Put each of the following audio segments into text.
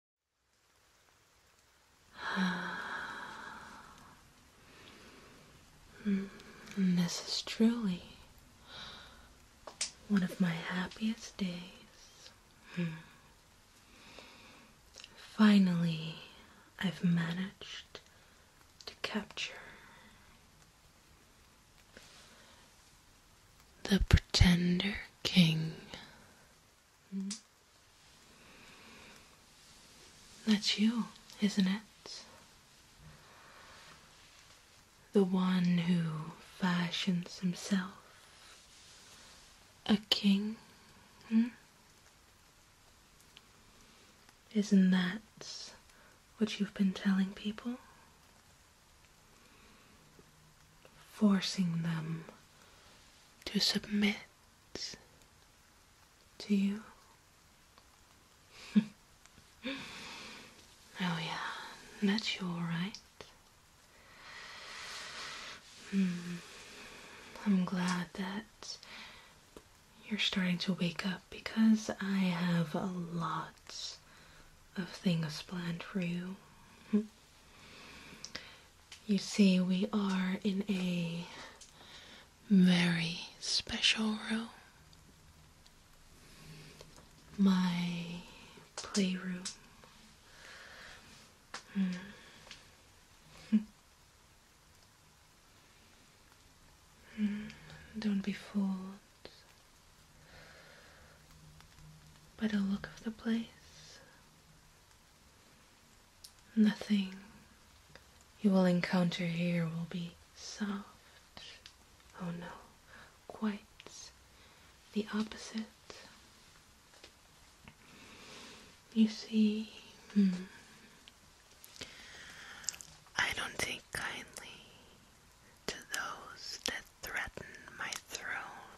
this is truly one of my happiest days. Hmm. Finally, I've managed to capture the Pretender King. Mm-hmm. That's you, isn't it? The one who fashions himself a king. Hmm? Isn't that what you've been telling people? forcing them to submit to you. oh, yeah, that's you, alright. Hmm. I'm glad that you're starting to wake up because I have a lot of things planned for you. You see, we are in a very special room. My playroom. Hmm. Hmm. Hmm. Don't be fooled by the look of the place. Nothing you will encounter here will be soft. Oh no, quite the opposite. You see, hmm. I don't take kindly to those that threaten my throne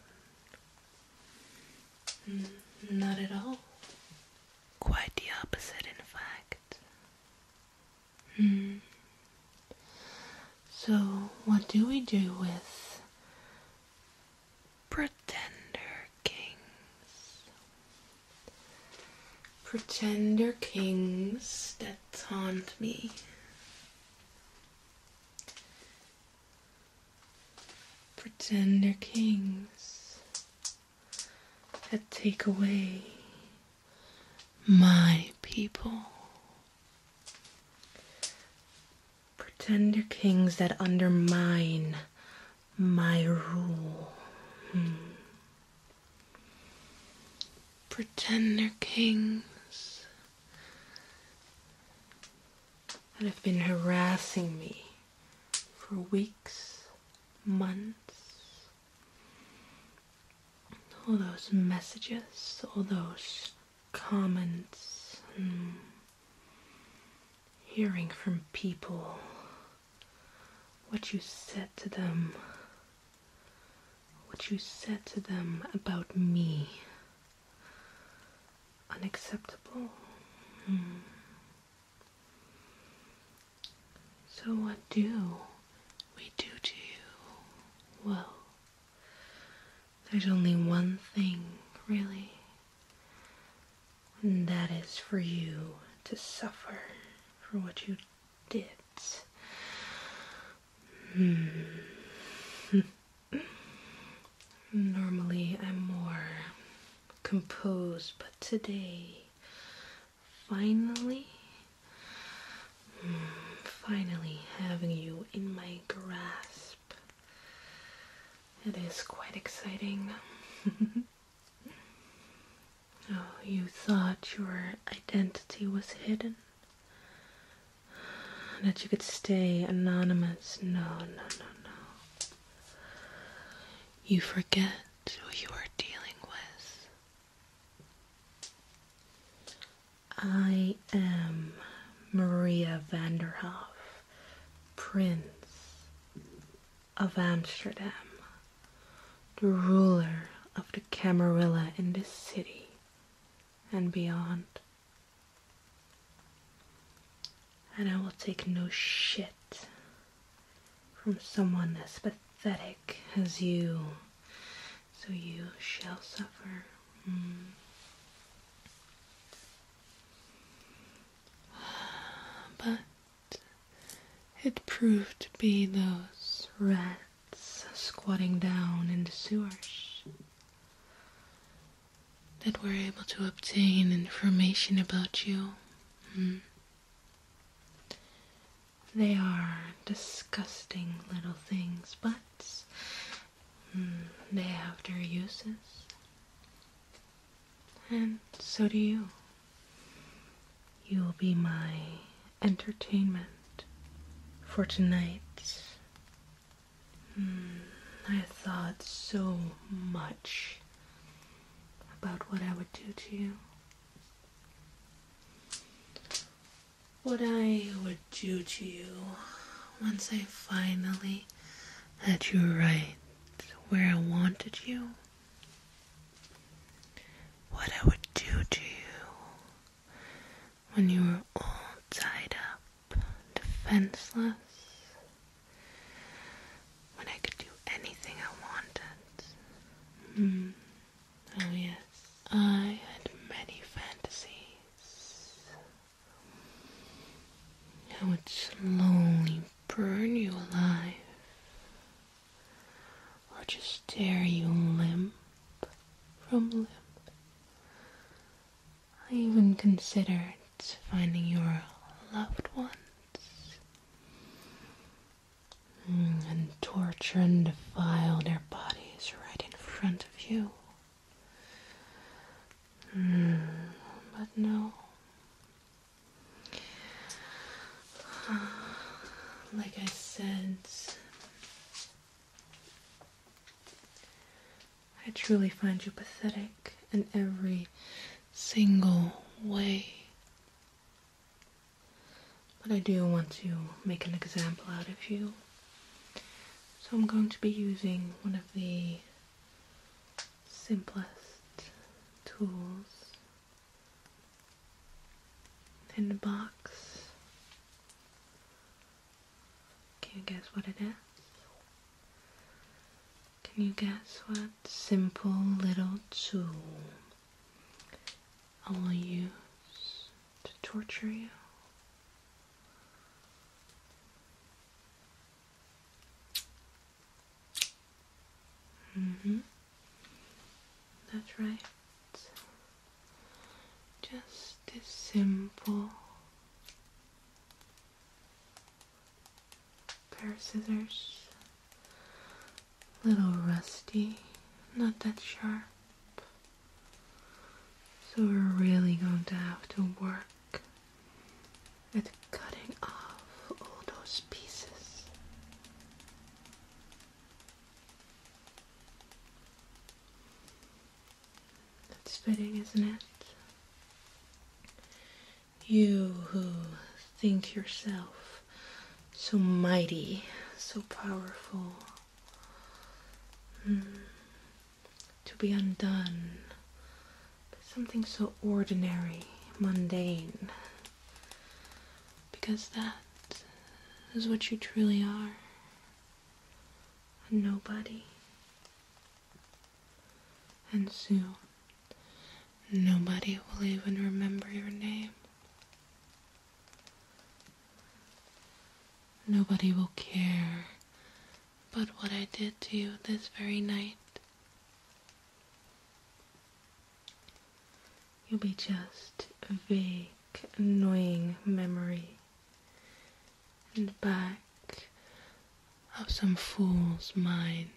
Mm, not at all. Quite the opposite, in fact. Hmm. So, what do we do with pretender kings? Pretender kings that taunt me. Pretender kings that take away my people. Pretender kings that undermine my rule. Hmm. Pretender kings that have been harassing me for weeks, months. All those messages, all those comments, hearing from people what you said to them what you said to them about me unacceptable? Hmm. So, what do we do to you? Well, there's only one thing, really, and that is for you to suffer for what you did. Normally I'm more composed, but today, finally, finally having you in my grasp. It is quite exciting. oh, you thought your identity was hidden? that you could stay anonymous. No, no, no, no. You forget who you are dealing with. I am Maria Vanderhoff, Prince of Amsterdam, the ruler of the Camarilla in this city and beyond. And I will take no shit from someone as pathetic as you, so you shall suffer. Mm. But it proved to be those rats squatting down in the sewers that were able to obtain information about you. Hmm. They are disgusting little things, but hmm, they have their uses. And so do you. You'll be my entertainment for tonight. Hmm, I thought so much about what I would do to you. What I would do to you once I finally had you right where I wanted you. What I would do to you when you were all tied up, defenseless, when I could do anything I wanted. Hmm. Oh, yes, I had many fantasies. I would slowly burn you alive or just tear you limp from limp. I even considered finding your loved ones mm, and torture and defile their bodies right in front of you. Mm, but no. Like I said, I truly find you pathetic in every single way. But I do want to make an example out of you. So I'm going to be using one of the simplest tools in the box can you guess what it is? Can you guess what simple little tool I will use to torture you? Mm-hmm. That's right. Just a simple pair of scissors. little rusty, not that sharp. So we're really going to have to work at cutting off all those pieces. That's fitting, isn't it? You who think yourself so mighty, so powerful, hmm, to be undone something so ordinary, mundane. Because that is what you truly are a nobody. And soon, nobody will even remember your name. Nobody will care but what I did to you this very night. You'll be just a vague, annoying memory and back of some fool's mind.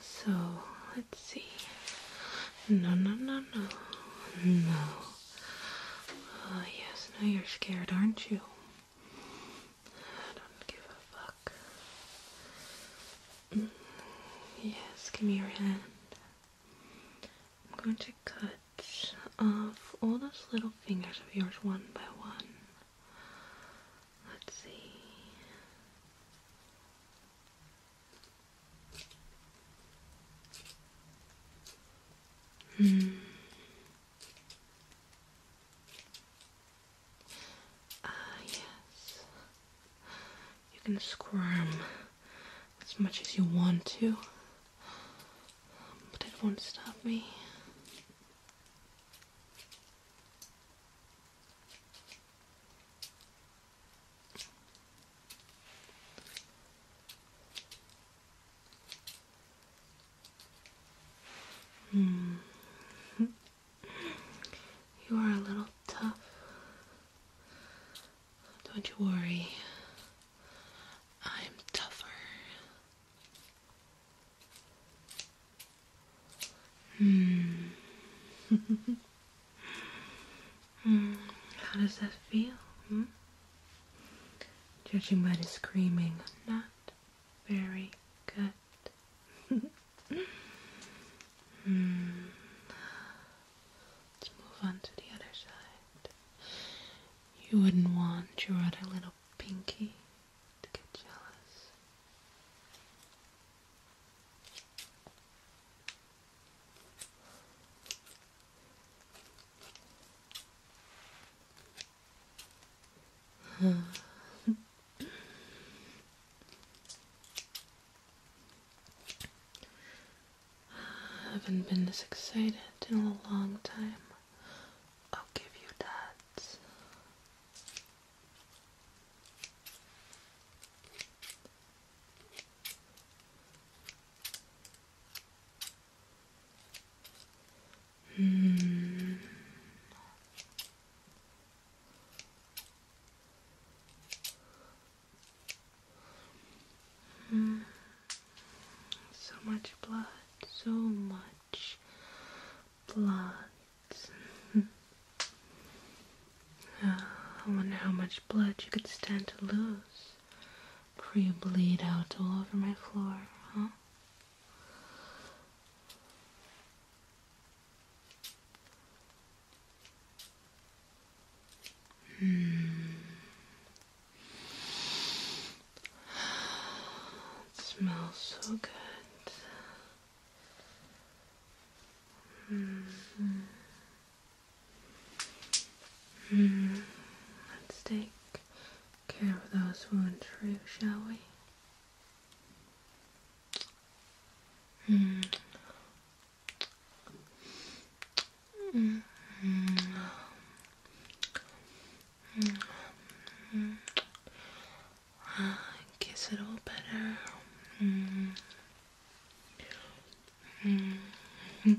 So let's see. No, no, no, no, no. Oh, yes, now you're scared, aren't you? I don't give a fuck. Mm, yes, give me your hand. I'm going to cut off all those little fingers of yours one by one. Let's see. Hmm. Ah, yes. You can squirm as much as you want to, but it won't stop me. Hmm. you are a little tough. Don't you worry. I'm tougher. Hmm. Hmm. How does that feel? Judging by the screaming, not very good. Hmm. Let's move on to the other side. You wouldn't want your other little pinky to get jealous. I haven't been this excited in a long time. I'll give you that. Hmm. Hmm. So much blood, so much blood. Ah, I wonder how much blood you could stand to lose before you bleed out all over my floor, huh? Mm. smells so good. Mm -hmm. Let's take care those who intrude, shall we? Mm. Mm. Mm. Uh, kiss it all better. Mm. Mm.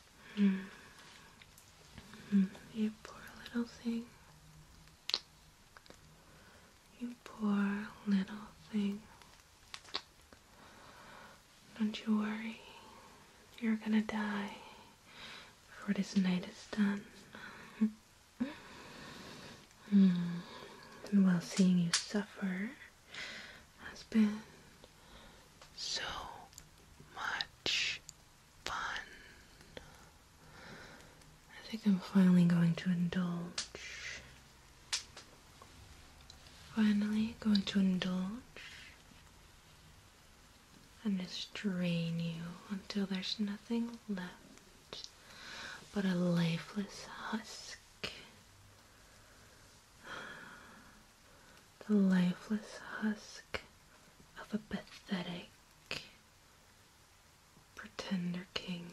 Mm. You poor little thing. You poor little thing. Don't you worry. You're gonna die before this night is done. mm. Well, seeing you suffer has been so much fun. I think I'm finally going to indulge. Finally, going to indulge and just drain you until there's nothing left but a lifeless husk the lifeless husk of a pathetic pretender king.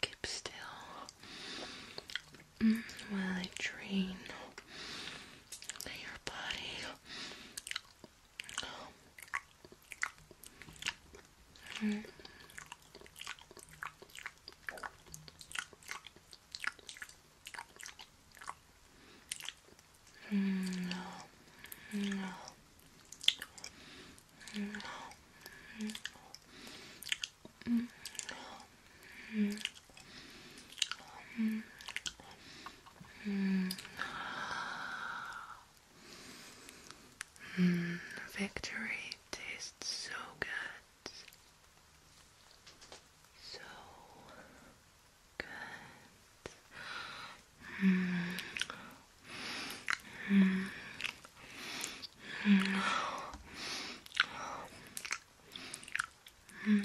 Keep still while I train your body. Mm. No, no, no, no, no. Mm, victory tastes so good. So good. Mm. Mm. Mm.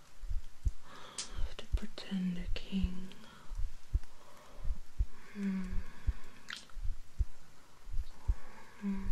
of the pretender king. Mm. Mm.